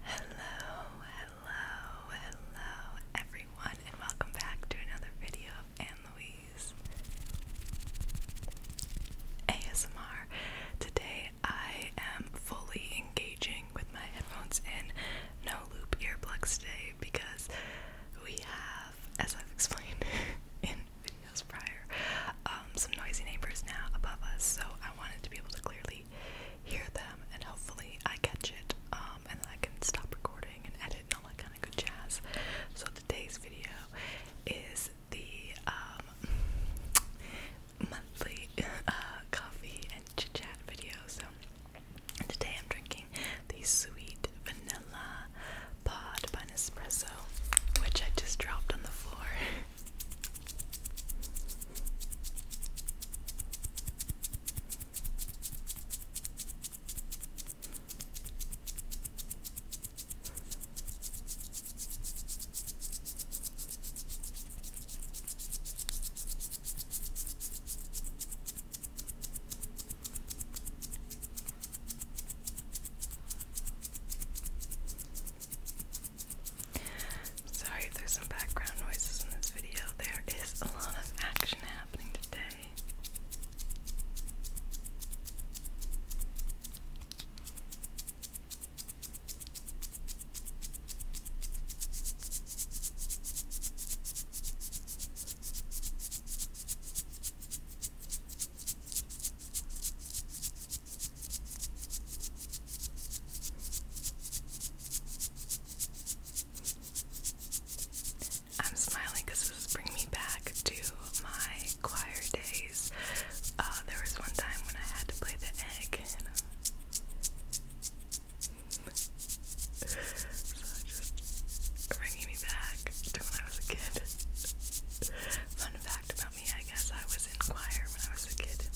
Hello, hello, hello everyone and welcome back to another video of Anne Louise ASMR. Today I am fully engaging with my headphones and no loop earplugs today because we have, as I've explained in prior, um, some noisy neighbors now above us, so I wanted to be able to clearly hear them and hopefully I catch it um, and then I can stop recording and edit and all that kind of good jazz. So today's video is the um, monthly uh, coffee and chit chat video. So today I'm drinking the sweet vanilla vanilla pod by Nespresso, which I just dropped on the floor. Sorry there's some background noises in this video. There is a lot of action happening today. I'm smiling because this is bringing me back to my choir days. Uh, there was one time when I had to play the egg, uh, so I just bringing me back to when I was a kid. Fun fact about me, I guess I was in choir when I was a kid.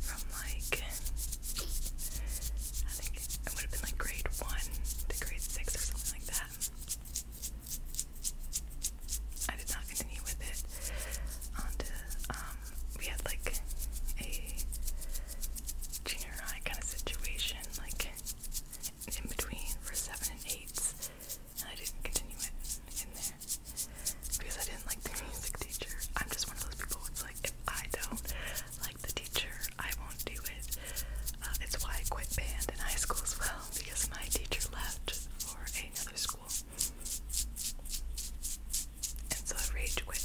From like, I think it would have been like grade 1 to grade 6 or something like that. I did not continue with it. On um, we had like a junior high kind of situation, like in between for seven and eight. I didn't continue it in there because I didn't like the music teacher. I'm just one of those people who's like, if I don't like the teacher, I won't do it. Uh, it's why I quit band in high school as well because my teacher left for another school, and so I rage quit.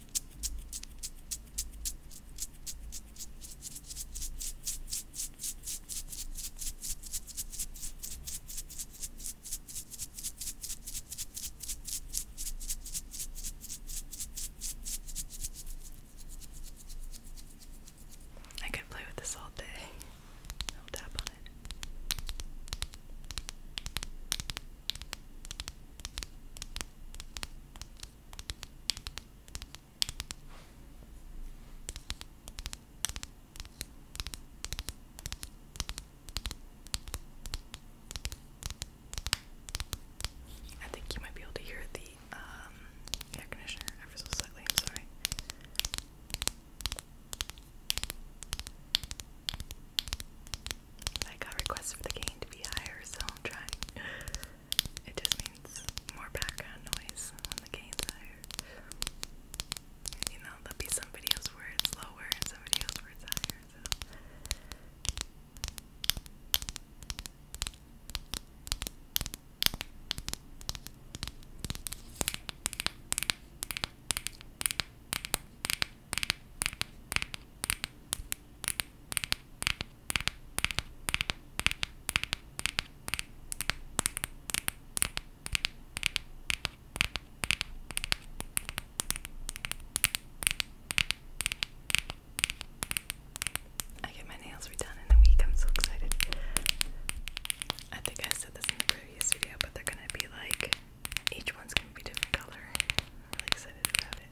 I could play with this all day. I'll tap on it. I think you might be able to hear the um, air conditioner ever so slightly. I'm sorry. I got requests for the gain to be higher, so I'm trying. It just means more background noise when the gain's higher. You know, there'll be some videos where it's lower and some videos where it's higher, I get my nails redone in a week. I'm so excited. I think I said this in the previous video, but they're gonna be like each one's gonna be different color. I'm really excited about it.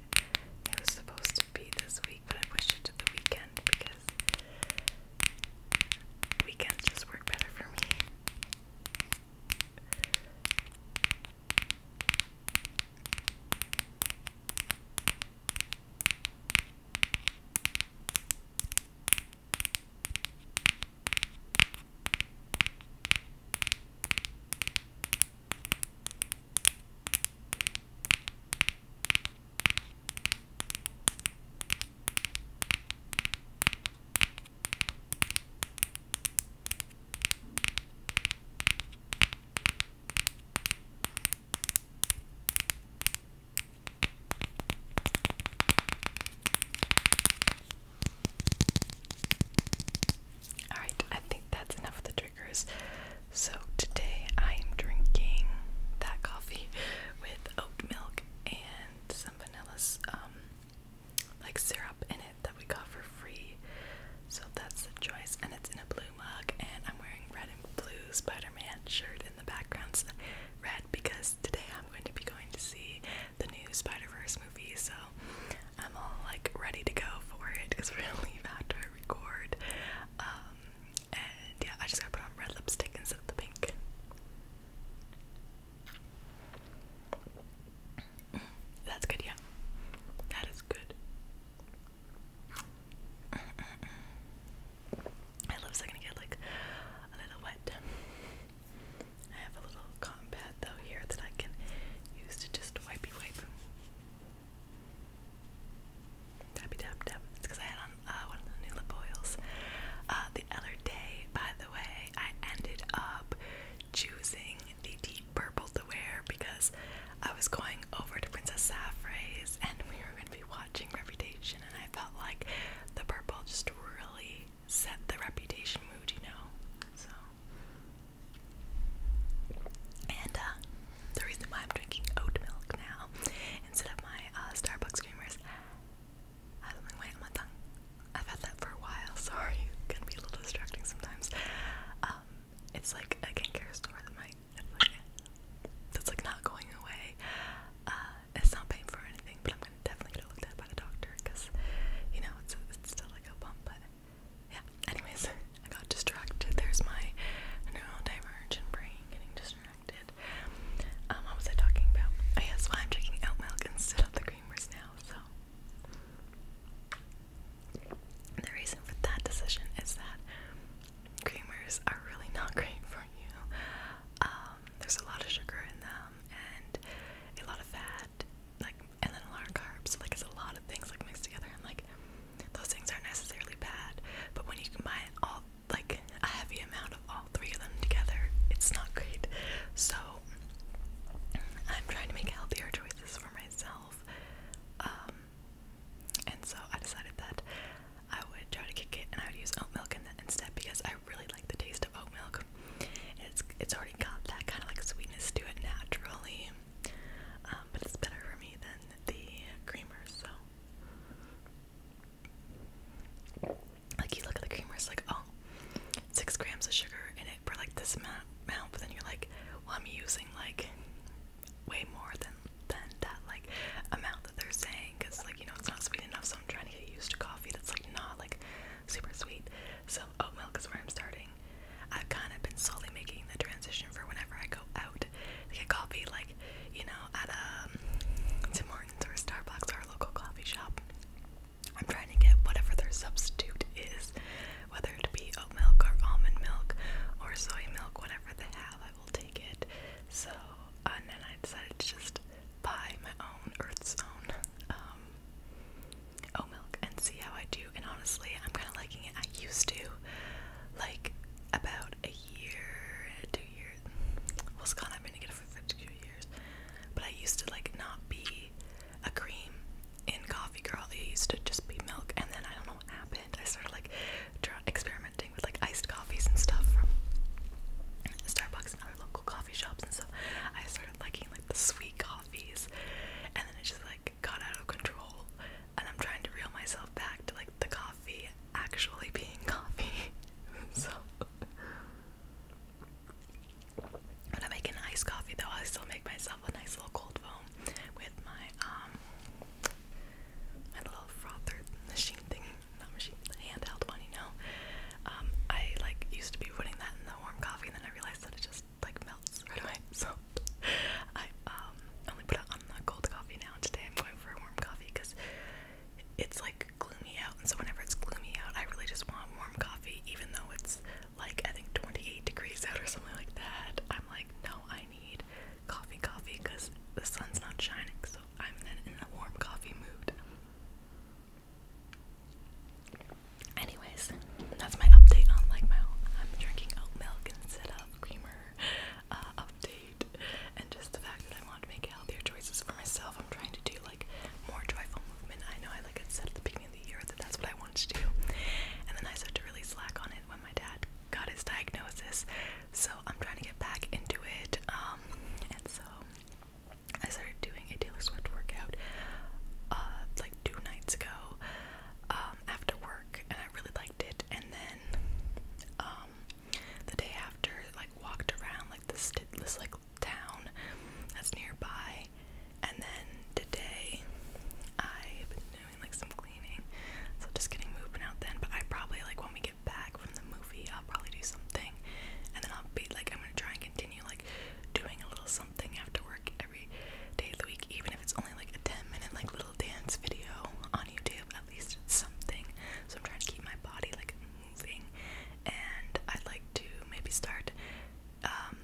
It was supposed to be this week, but I pushed it to the weekend because weekends just work better for me. All right, I think that's enough of the so today I am drinking that coffee with oat milk and some vanilla um like syrup in it that we got for free. So that's the choice and it's in a blue mug and I'm wearing red and blue Spider-Man shirt in the background. So red because today I'm going to be going to see the new Spider-Verse movie. So I'm all like ready to go for it because we're gonna leave after record. Um, yeah, I just gotta put on red lipstick instead of the pink. That's good, yeah. That is good. I love second to get like a little wet. I have a little cotton though here that I can use to just wipey wipe. Tappy tap tap. It's because I had on uh, one of the new lip oils the other day. By the way, I ended up choosing the deep purple to wear because I was going over to Princess Saffrey's and we were going to be watching Reputation, and I felt like the purple just really set the Reputation mood, you know. So and uh, the reason why I'm drinking oat milk now instead of my uh, Starbucks creamers, I have something white on my tongue. I've had that for a while. Sorry, can be a little distracting sometimes. Um, it's like a skincare store that might that's like not going away. Uh, it's not paying for anything, but I'm gonna definitely get looked at by the doctor because you know it's it's still like a bump, but yeah, anyways, I got distracted. There's my neurodivergent brain getting distracted. Um, what was I talking about? Oh yeah, so I'm drinking oat milk instead of the creamers now, so the reason for that decision is that creamers are really not great for you. Um, there's a lot of sugar in them and a lot of fat, like and then a lot of carbs. Like it's a lot of things like mixed together. i like, those things aren't necessarily bad, but when you combine all like a heavy amount of all three of them together, it's not great. So I'm trying to make healthier choices for myself. Um, and so I decided that I would try to kick it and I would use oat milk instead because I really like the taste of oat milk. It's it's already got that kind of like sweetness to it naturally. Um, but it's better for me than the creamers. So, like you look at the creamers, like oh, six grams of sugar in it for like this amount, but then you're like, well, I'm using like way more than than that like amount that they're saying, because like you know it's not sweet enough. So I'm trying to get used to coffee that's like not like super sweet. So oat milk is where I'm starting. I've kind of been slowly making the transition for whenever I go out to get coffee, like, you know, at a um, Tim Hortons or Starbucks or a local coffee shop. I'm trying to get whatever their substitute is, whether it be oat milk or almond milk or soy milk, whatever they have, I will take it. So, uh, and then I decided to just buy my own Earth's Own um, oat milk and see how I do you, and honestly, I'm kind of liking it. I used to, like, about a year, two years. Well, it's gone. I've been together for 52 years. But I used to, like, not be a cream in coffee girl. It used to just be milk. And then I don't know what happened. I started, like, experimenting with, like, iced coffees and stuff from Starbucks and other local coffee shops and stuff. I started liking, like, the sweet coffees. And then it just, like, got out of control and I'm trying to reel myself back to like the coffee actually being coffee. so when I make an iced coffee though, I still make myself a nice little cold foam with my um my little frother machine thingy, Not machine, the handheld one, you know. Um I like used to be putting that in the warm coffee and then I realized that it just like melts right away. So I um only put on the cold coffee now. Today I'm going for a warm coffee because it's like gloomy out, and so whenever it's gloomy out, I really just want warm coffee, even though it's like I think 28 degrees out or something like that. I'm like, no, I need coffee, coffee, because the sun's not shining, so I'm then in a warm coffee mood. Anyways, that's my update on like my I'm drinking oat milk instead of creamer Uh, update, and just the fact that I want to make healthier choices for myself. I'm trying to do like more joyful movement. I know I like I said at the beginning of the year that that's what I wanted to do, and then I started to really slack on it when my dad got his diagnosis. So I'm trying to get back into it, um, and so I started doing a Taylor Swift workout uh, like two nights ago. Um, after work, and I really liked it. And then um, the day after, like walked around like this this town that's nearby. And then today, I've been doing like some cleaning, so just getting moving out then. But I probably like when we get back from the movie, I'll probably do something, and then I'll be like, I'm gonna try and continue like doing a little something after work every day of the week, even if it's only like a 10 minute like little dance video on YouTube, at least something. So I'm trying to keep my body like moving, and I'd like to maybe start, um,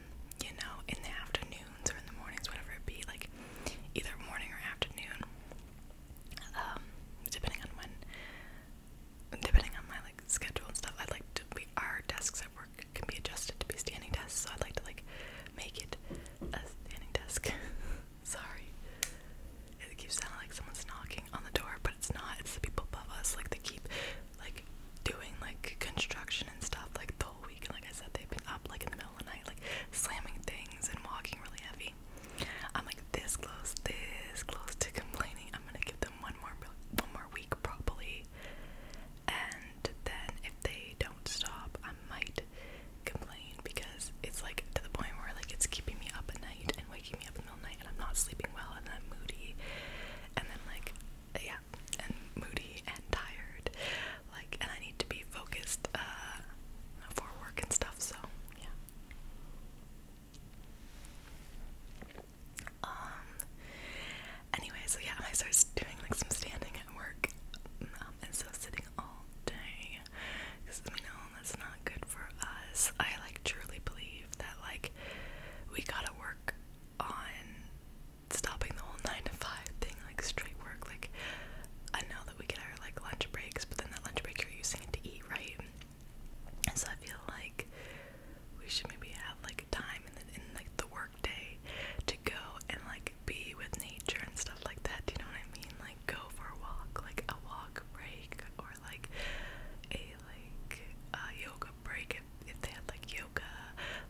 you know, in the afternoons or in the mornings, whatever it be, like either morning or afternoon, um, depending on when. Depending on my like schedule and stuff, I'd like to be our desks at work can be adjusted to be standing desks, so I'd like to like make it a standing desk. Sorry. It keeps sounding like someone's knocking on the door, but it's not. It's the people above us. Like they keep like doing like construction and stuff like the whole week. like I said, they've been up like in the middle of the night, like slamming things and walking really heavy. I'm like this close, this close to complaining. I'm gonna give them one more one more week properly, And then if they don't stop, I might complain because it's like to the point where like it's keeping me up at night and waking me up in the middle night and I'm not sleeping well and I'm moody and then like uh, yeah and moody and tired like and I need to be focused uh for work and stuff so yeah um anyway so yeah I started doing like some standing work and so sitting all day because you know that's not good for us. I like truly believe that like we gotta work on stopping the whole nine to five thing, like straight work. Like I know that we get our like lunch breaks, but then that lunch break you're using it to eat, right? And so I feel like we should maybe have like time and then in like the work day to go and like be with nature and stuff like that. Do you know what I mean? Like go for a walk, like a walk break or like a like yoga break if, if they had like yoga,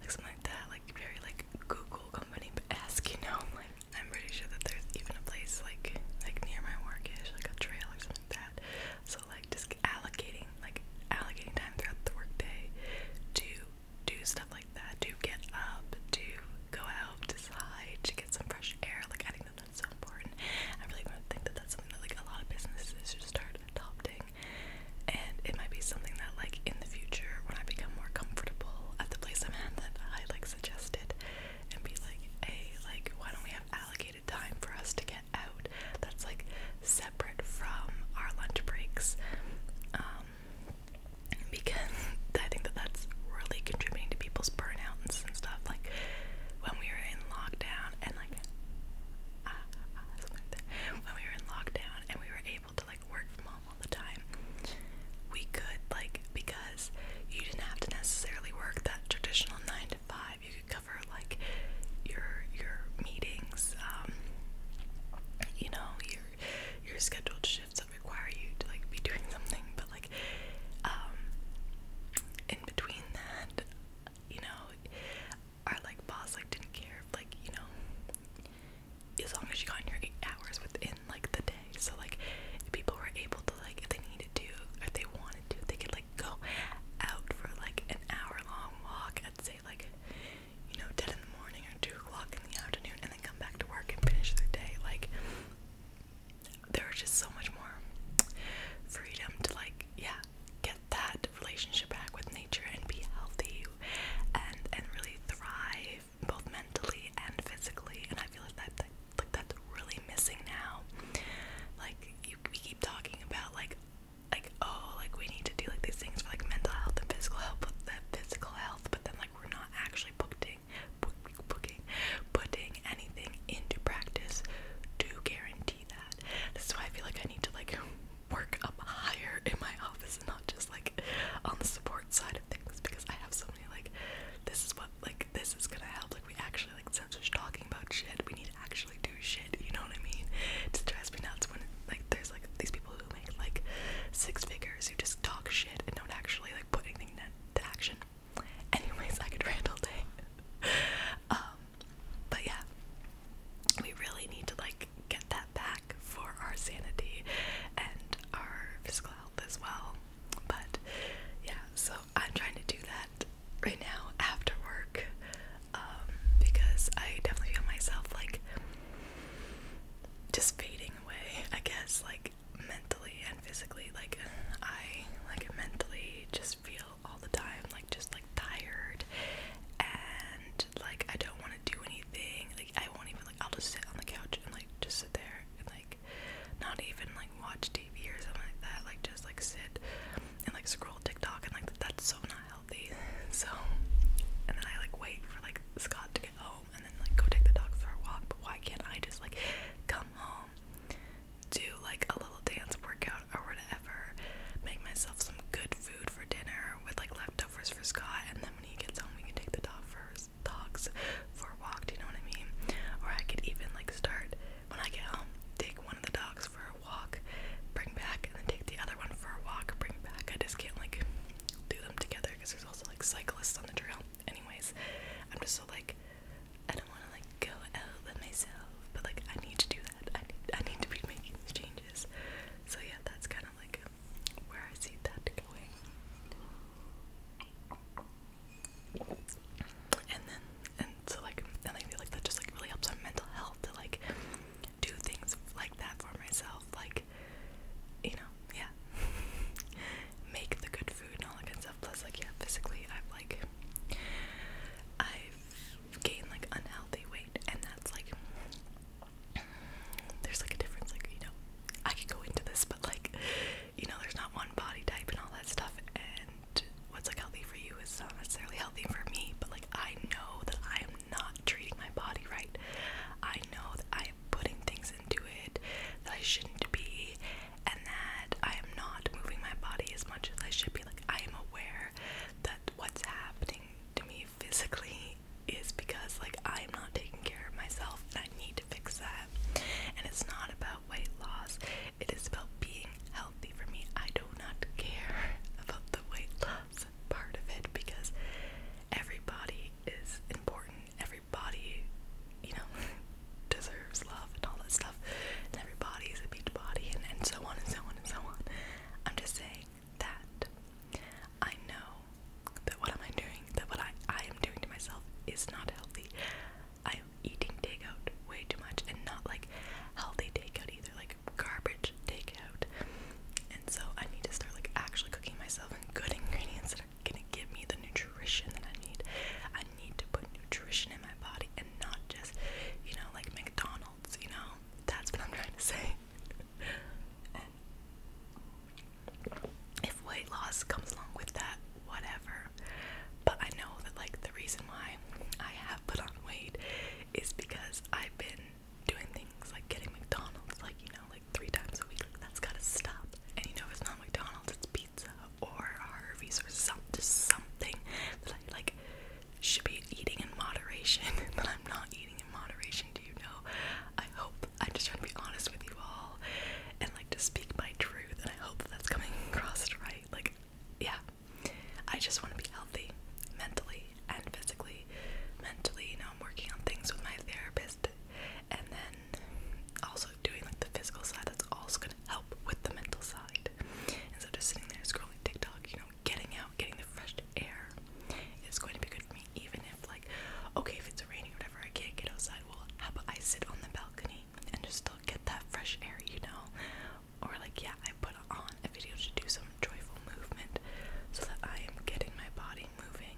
like something like that, like very like Google company esque, you know, like I'm pretty sure that there's even a place like like near my work is like a trail or something like that. So like just allocating like allocating time throughout the workday to do stuff like that, Do get up, Do go out, to slide, to get some fresh air. Like I think that that's so important. I really want to think that that's something that like a lot of businesses should start adopting. And it might be something that like in the future when I become more comfortable at the place I'm at that I like suggested and be like, hey, like why don't we have allocated time for us to get out that's like separate from our lunch breaks. Um, because I think that that's really contributing to people's burnouts and stuff. Like when we were in lockdown and like uh, uh, when we were in lockdown and we were able to like work from home all the time, we could like because you didn't have to necessarily work that traditional nine to five. You could cover like your your meetings, um, you know your your scheduled shifts that require you to like be doing something, but like um in between that, you know, our like boss like didn't care if like, you know, as long as you got in your eight hours within like the day. So like if people were able to like if they needed to or if they wanted to, they could like go out for like an hour long walk at say like you know, 10 in the morning or 2 o'clock in the afternoon, and and come back to work and finish their day. Like there's just so much more freedom to like, yeah, get that relationship back with nature and be healthy and and really thrive both mentally and physically. And I feel like that, like that's really missing now. Like you, we keep talking about like like oh like we need to do like these things for like mental health and physical health but physical health but then like we're not actually putting putting, anything into practice to guarantee that. This why I feel like I need to like work up higher in my office and not just like on the support side of things because I have so many like this is what like this is gonna help. Like we actually like since talking about shit, we need to actually do shit, you know what I mean? It just drives me nuts when like there's like these people who make like six figures who just talk shit and don't actually like really put anything action. Anyways, I could rant all day. Um, but yeah, we really need to like get that back for our sanity and our physical health as well. But yeah, so I'm trying to do that right now after work um, because I definitely feel myself like just fading away. I guess like like mentally and physically like I like mentally just feel all the time like just like tired and like I don't want to do anything like I won't even like I'll just sit on the couch and like just sit there and like not even like watch TV or something like that like just like sit and like scroll TikTok and like that's so not healthy so and then I like wait for like Scott home and then like go take the dogs for a walk, but why can't I just like come home, do like a little dance workout or whatever, make myself some good food for dinner with like leftovers for Scott, and then when he gets home we can take the dog for dogs for a walk, do you know what I mean? Or I could even like start when I get home, take one of the dogs for a walk, bring back, and then take the other one for a walk, bring back. I just can't like do them together because there's also like cyclists on the trail anyways, I'm just so like I don't want to like go out with myself, but like I need to do that. I need I need to be making these changes. So yeah, that's kind of like where I see that going. And then and so like and I feel like that just like really helps my mental health to like do things like that for myself, like like, you know, yeah, make the good food and all that kind of stuff. Plus, like, yeah, physically, I've like, I've gained like unhealthy weight, and that's like, there's like a difference. Like, you know, I could go into this, but like, you know, there's not one body type and all that stuff, and what's like healthy for you is not necessarily healthy for me, but like I know that I am not treating my body right. I know that I i putting things into it that I shouldn't be, and that I am not moving my body as much as I should be. Like, I am aware that what's happening to me physically is because, like, I am not taking care of myself, and I need to fix that. And it's not about weight loss, it is about being healthy for me. I do not care about the weight loss part of it because every body is important, every body, you know, deserves love and all that stuff, and every body is a beach body, and, and so on and so on and so on. I'm just saying that I know that what am I doing, that what I, I am doing to myself is not healthy. I'm eating takeout way too much, and not like healthy takeout either, like garbage takeout. And so I need to start like actually cooking myself in good ingredients that are gonna give me the nutrition that I need. I need to put nutrition in my body and not just, you know, like McDonald's, you know? That's what I'm trying to say. if weight loss comes along with that, whatever. But I know that, like, the reason why I have put on weight is because I've been doing things like getting McDonald's, like, you know, three times a week. that's gotta stop. And you know, it's not McDonald's, it's pizza or Harvey's or some, just something that I like should be eating in moderation, but I'm not eating in moderation. Do you know? I hope. I'm just trying to be honest with you all and like to speak my truth, and I hope that's coming across right. Like, yeah. I just want to be healthy mentally and physically. Mentally, you know, I'm working on things with my therapist, and then also doing like the physical side that's also gonna help with the mental side. Instead of sitting there scrolling TikTok, you know, getting out, getting the fresh air is going to be good for me, even if like, okay, if it's raining or whatever, I can't get outside. Well, how about I sit on the balcony and just still get that fresh air, you know? Or like, yeah, I put on a video to do some joyful movement so that I am getting my body moving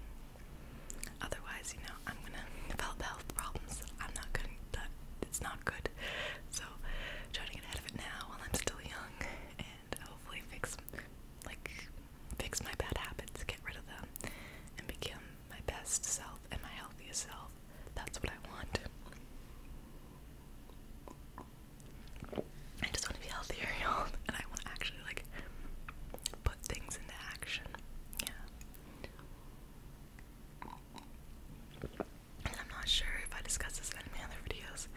Otherwise, you know, I'm gonna develop health problems. I'm not good. That it's not good. So try to get ahead of it now while I'm still young, and hopefully fix like fix my bad habits, get rid of them, and become my best self and my healthiest self. That's what I want. I just want to be healthier, y'all, and I want to actually like things into action. Yeah. And I'm not sure if I discuss this in any of my other videos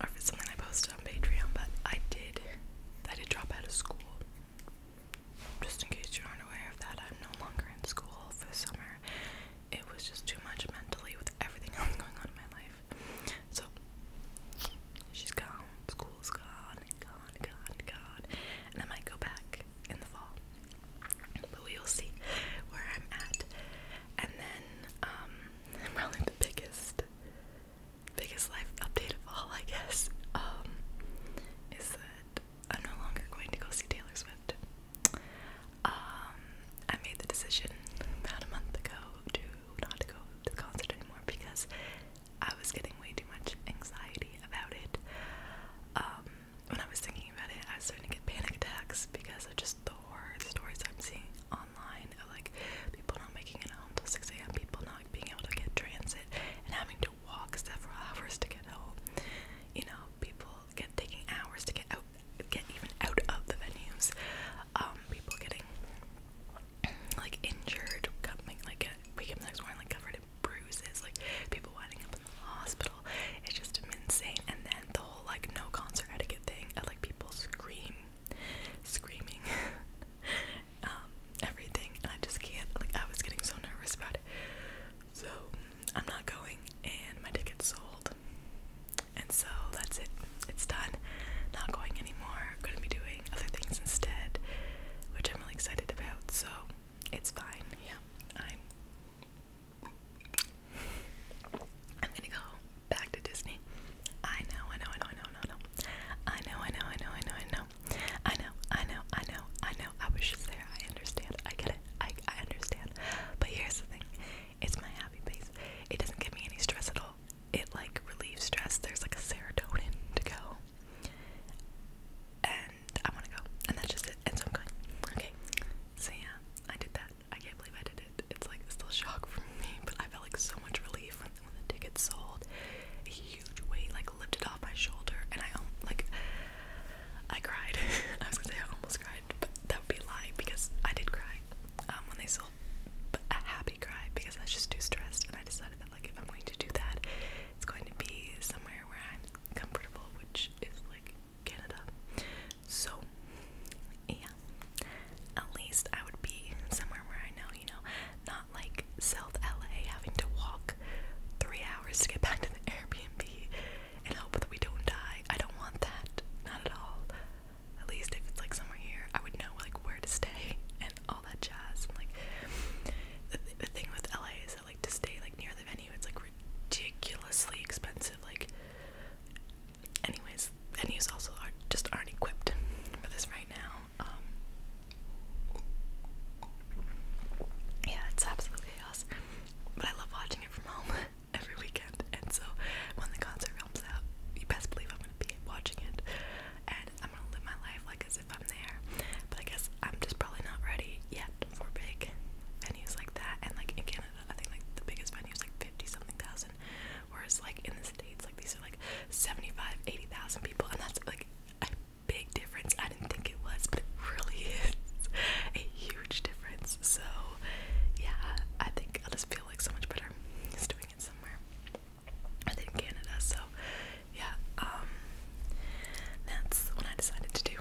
or if it's something I posted on Patreon, but I did I did drop out of school. Just in case you aren't of that, I'm no longer in school for summer. It was just too much mentally with everything else going on in my life. So she's gone, school's gone gone, gone, gone. And I might go back in the fall. But we will see where I'm at. And then, um, probably the biggest, biggest life update of all, I guess, um, is that I'm no longer going to go see Taylor Swift. Um, I made the decision about a month ago to not go to the concert anymore because I was getting way too much anxiety about it. Um, when I was thinking about it, I was starting to get panic attacks because of just the horror stories I'm seeing online of like people not making it home till 6 a.m., people not being able to get transit and having to walk several hours to get home. You know, people get taking hours to get out, get even out of the venues. Um, people getting like injured, like wake up next morning like covered in bruises, like people winding up in the hospital. It's just insane. And then the whole like no concert etiquette thing, like people scream, screaming, um, everything. I just can't. Like I was getting so nervous about it. So I'm not going, and my ticket's sold. And so that's it. It's done. Not going anymore are going to be doing other things instead, which I'm really excited about. So it's fine. Yeah, I'm. I'm gonna go back to Disney. I know, I know, I know, I know, I know, I know, I know, I know, I know, I know, I know, I know, I know, I know. I was just there. I understand. I get it. I I understand. But here's the thing. It's my happy place. It doesn't give me any stress at all. It like relieves stress. There's like a serotonin to go and I want to go, and that's just it. And so I'm going. Okay, so yeah, I did that. I can't believe I did it. It's like still shock for me, but I felt like so much relief when, the ticket sold. A huge weight like lifted off my shoulder, and I um, like I cried. I was gonna say I almost cried, but that would be a lie because I did cry um, when they sold, but a happy cry because I was just too stressed, and I decided that like, if I'm going to do that, it's going to be somewhere where I'm comfortable, which is like Canada. So, yeah, at least I would be somewhere where I know, you know, not like South LA having to walk three hours to get back to the Airbnb and hope that we don't die. I don't want that, not at all. At least if it's like somewhere here, I would know like where to stay and all that jazz. And like the, th the thing with LA is that like to stay like near the venue, it's like ridiculously expensive. Like, anyways, venues also are just aren't equipped for this right now. Um, yeah, it's absolute chaos, but I love watching it from home every weekend. And so when the concert comes out, you best believe I'm gonna be watching it and I'm gonna live my life like as if I'm there. But I guess I'm just probably not ready yet for big venues like that. And like in Canada, I think like the biggest venue is like 50 something thousand, whereas like in the States, like these are like 75, 80,000 people, and that's like a big difference. I didn't think it was, but it really is a huge difference. So, yeah, I think i just feel like so much better just doing it somewhere within Canada. So yeah, um, that's what I decided to do.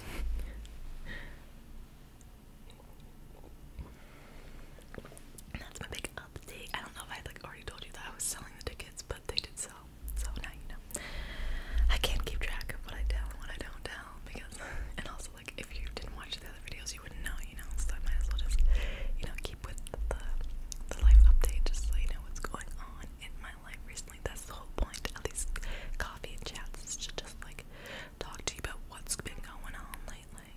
that's my big update. I don't know if I like already told you that I was selling the tickets, but they did sell. So now you know. I can't keep track of what I tell and what I don't tell because, and also like if you didn't watch the other videos, you wouldn't know, you know. So I might as well just, you know, keep with the the life update just so you know what's going on in my life recently. That's the whole point of these coffee chats is just like talk to you about what's been going on lately.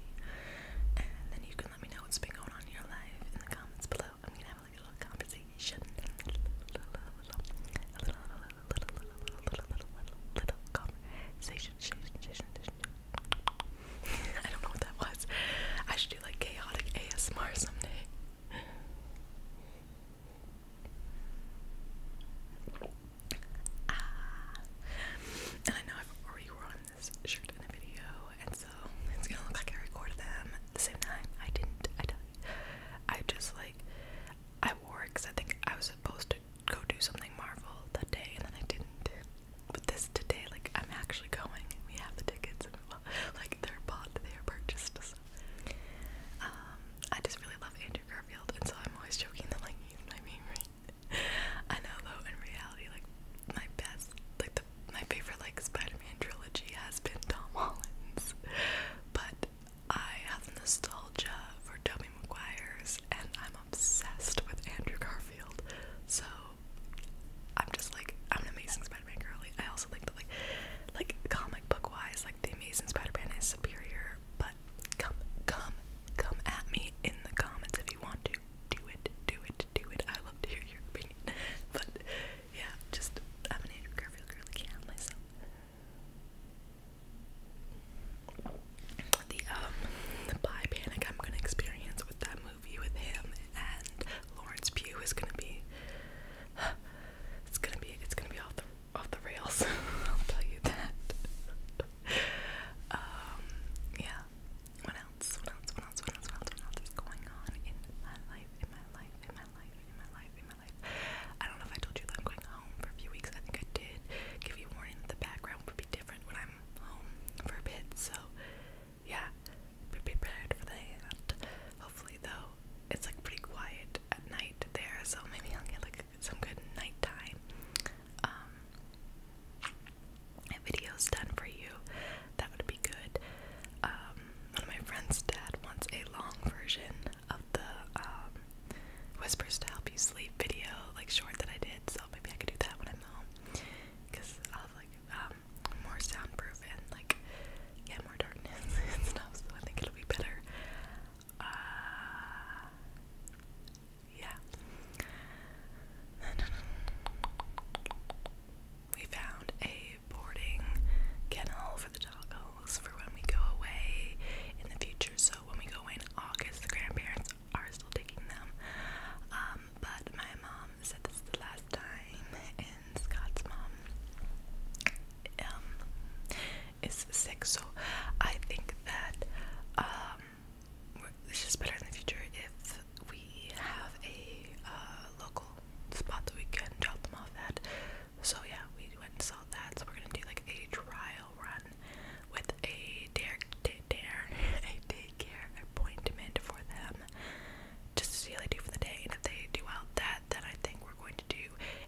And then you can let me know what's been going on in your life in the comments below. I'm gonna have like a little conversation. little, little, little, little, little, little, little, little, little conversation. I don't know what that was. I should do like chaotic ASMR someday. Ah. I know I've already worn this shirt in a video, and so it's gonna look like I recorded them at the same time. I didn't, I tell you. I just like, I wore it because I think I was supposed to go do something Marvel that day, and then I didn't. But this today, like, I'm actually going. We have the tickets, like their pot they are purchased. Um, I just really love Andrew Garfield, and so I'm always joking that like he's my favorite. I know though, in reality, like my best, like the my favorite like Spider-Man trilogy has been Tom Holland's, but I have nostalgia for Tobey Maguire's, and I'm obsessed with Andrew Garfield. So I'm just like I'm an amazing Spider-Man girly. I also think that like like comic book wise, like the amazing Spider-Man is superior, but come come come at me in the comments if you want to. Do it, do it, do it. I love to hear your opinion. But yeah, just I'm an Andrew Garfield girly can't myself. The um the bi panic I'm gonna experience with that movie with him and Lawrence Pugh is gonna be it's gonna be it's gonna be off the off the rails. I'll tell you that. um yeah. What else? What else? What else? What else? What else? What else is going on in my life? In my life? In my life? In my life? In my life? I don't know if I told you that I'm going home for a few weeks. I think I did give you warning that the background would be different when I'm home for a bit. So yeah, be prepared for that. Hopefully, though, it's like pretty quiet at night there, so maybe I'll get like some good nighttime um, videos done for you. That would be good. Um, one of my friends' dad wants a long version of the um, whispers to help you sleep video, like short that I did. So maybe I could do that when I'm home, because I'll like um, more soundproof and like yeah, more darkness and stuff. So I think it'll be better. Uh, yeah. We found a boarding kennel for the dogs for when we go away in the future. So when we go away in August, the grandparents are still taking them. Um, but my mom said this is the last time, Scott's mom um, is sick, so I think that um, it's just better in the future if we have a uh, local spot that we can drop them off at. So yeah, we went and saw that. So we're gonna do like a trial run with a dare, dare, dare a daycare appointment for them just to see how they do for the day. And if they do out that, then I think we're going to do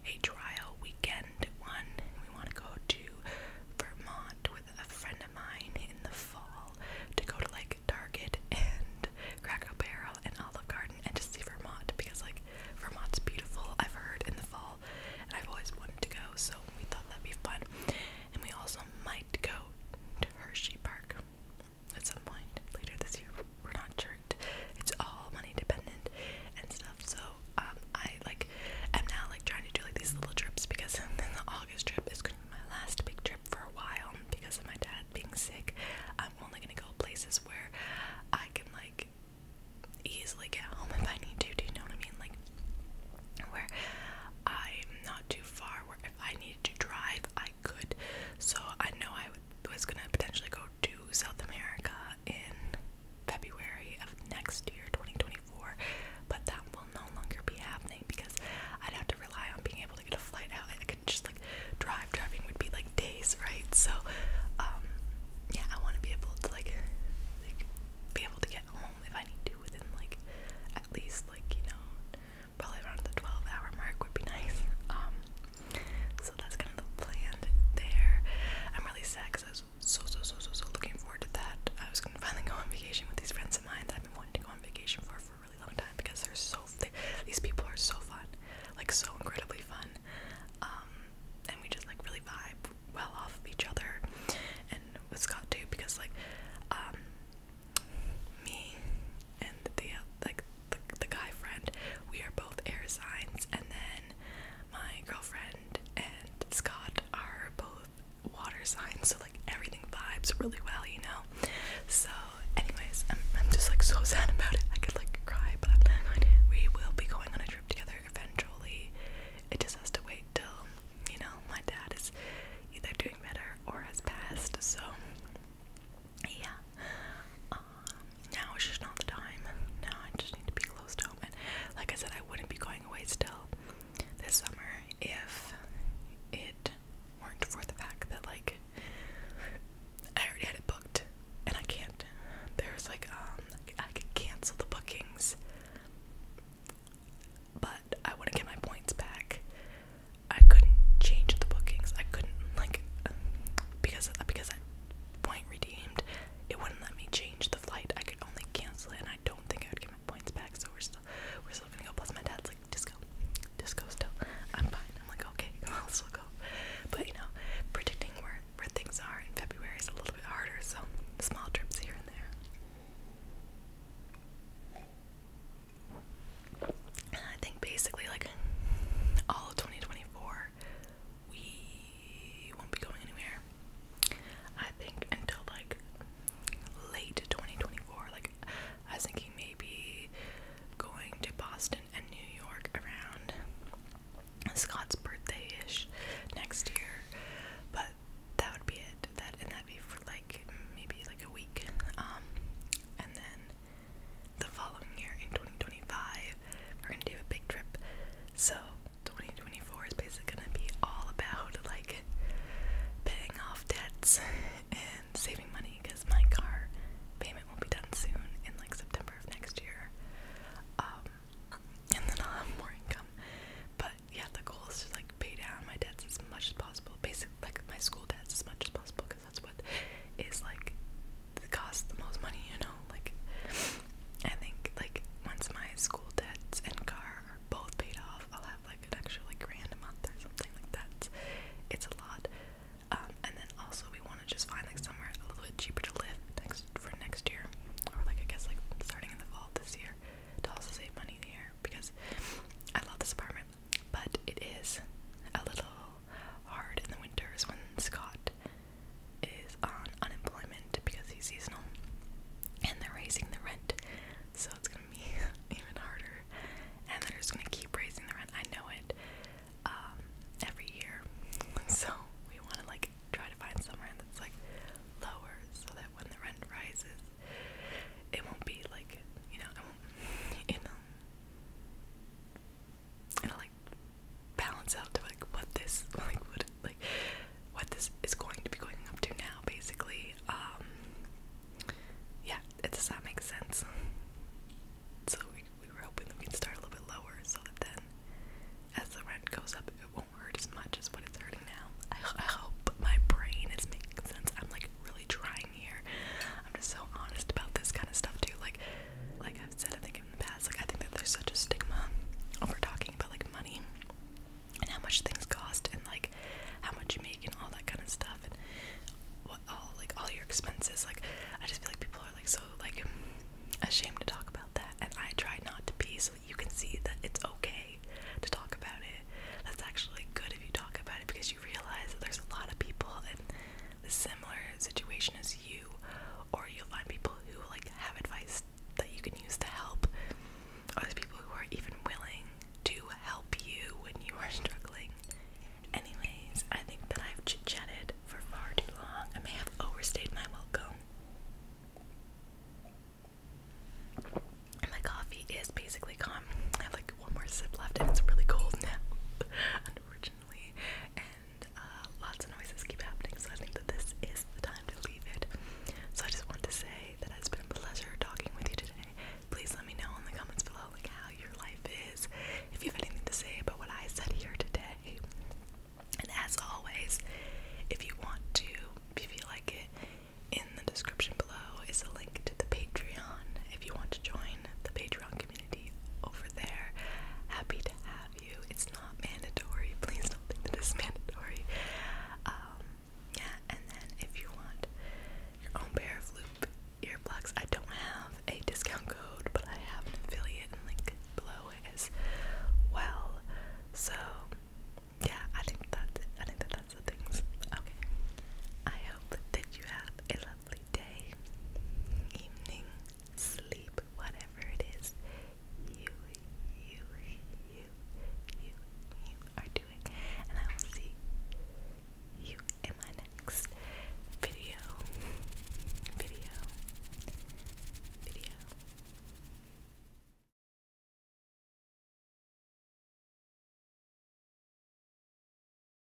a trial weekend one. We want to go to Vermont with a friend of mine in the fall to go to like Target and Cracker Barrel and Olive Garden and just see Vermont because like Vermont's beautiful, I've heard, in the fall, and I've always wanted to go, so we thought that'd be fun. And we also might go to Hershey Park at some point later this year. We're not sure. It's all money dependent and stuff. So um, I like am now like trying to do like these little trips because then the August trip is going to be my last big trip for a while because of my dad being sick. I'm only gonna go places where I can like easily get home if I need to. Do you know what I mean? Like where I'm not too far. Where if I needed to drive, I could. So I know I would was going to potentially go to South America in February of next year, 2024, but that will no longer be happening because I'd have to rely on being able to get a flight out. I could just like drive. Driving would be like days, right? So, um, yeah, I want to be able to like, like be able to get home if I need to within like at least like you know probably around the 12 hour mark would be nice. Um, so that's kind of the there. I'm really sad because I was so, so, so, so, so looking forward to that. I was going to finally go on vacation with these friends of mine I've been wanting to go on vacation for for a really long time because they're so, these people are so fun, like so incredibly fun. Um, and we just like really vibe well off of each other and with Scott too because like, um, me and the like the, guy friend, we are both air signs, and then my girlfriend and Scott are both water signs, so like everything vibes really well, you know. So, anyways, I'm just like so sad about it. I could like cry, but I'm not going to. We will be going on a trip together eventually. It just has to wait till you know my dad is either doing better or has passed. So yeah. Um, now it's just not the time. Now I just need to be close to home. like I said, I wouldn't be going away still this summer if it weren't for the fact that like I already had it booked and I can't. There's like um I could cancel the bookings, but I wouldn't get my points back. I couldn't change the bookings. I couldn't like because because I point redeemed, it wouldn't let me change the flight. I could only cancel it, and I don't think I would get my points back. So we're still we're still gonna go. Plus my dad's like disco, disco still. I'm fine. I'm like okay, I'll still go. But you know, predicting where where things are in February is a little bit harder. So small trips here and there. I think basically like all of 2024 we won't be going anywhere. I think until like late 2024 like I was thinking maybe going to Boston and New York around Scott's birthday-ish next year. But that would be it. That and that'd be for like maybe like a week. Um, and then the following year in 2025, we're gonna do a big trip. So 2024 is basically gonna be all about like paying off debts and saving money because my car payment will be done soon in like September of next year. Um, and then I'll have more income. But yeah, the goal is to like pay down my debts as much as possible. Basically, like my school debts as much as possible because that's what is like costs the most money, you know. Like I think like once my school debts and car are both paid off, I'll have like an extra like grand a month or something like that. It's a lot. Um, and then also we want to just find like somewhere a little bit cheaper to live next for next year, or like I guess like starting in the fall this year to also save money here because I love this apartment but it is a little hard in the winters when Scott is on unemployment because he's seasonal and they're raising the rent, so it's gonna be even harder. And they're just gonna keep raising the rent. I know it um, every year, so we want to like try to find somewhere that's like lower so that when the rent rises, it won't be like you know, it won't, you know, it like balance out to like what this like what like what this is going to be going up to now basically. Um yeah, does that make sense? So we were hoping we'd start a little bit lower so that then as the rent goes up it won't hurt as much as what it's hurting now. I, I hope my brain is making sense. I'm like really trying lying here. I'm just so honest about this kind of stuff too. Like, like I've said, I think in the past, like I think that there's such a stigma over talking about like money and how much things cost and like how much you make and all that kind of stuff and what all like all your expenses. Like, I just feel like people are like so like ashamed to talk about that, and I try not to be so that you can see that it's okay to talk about it. That's actually good if you talk about it because you realize that there's a lot of people and the similar situation as you, or you'll find people who like have advice that you can use to help, or there's people who are even willing to help you when you are struggling. Anyways, I think that I've chatted for far too long. I may have overstayed my welcome. My coffee is basically gone. I have like one more sip left and it's really cold now. Unfortunately occasionally, and uh, lots of noises keep happening, so I think that this is the time to leave it. So I just want to say that it's been a pleasure talking with you today. Please let me know in the comments below like how your life is, if you have anything to say about what I said here today. And as always, if you want to, if you feel like it, in the description below is a link to the Patreon if you want to join the Patreon community over there. Happy to have you. It's not mandatory. Please don't think that it's mandatory. Um, yeah, and then if you want your own pair of loop earplugs, I don't have a discount code, but I have an affiliate link below as well. So yeah, I think that's it. I think that that's the things. Okay. I hope that you have a day, evening, sleep, whatever it is you, you, you, you, you are doing. And I will see you in my next video, video, video.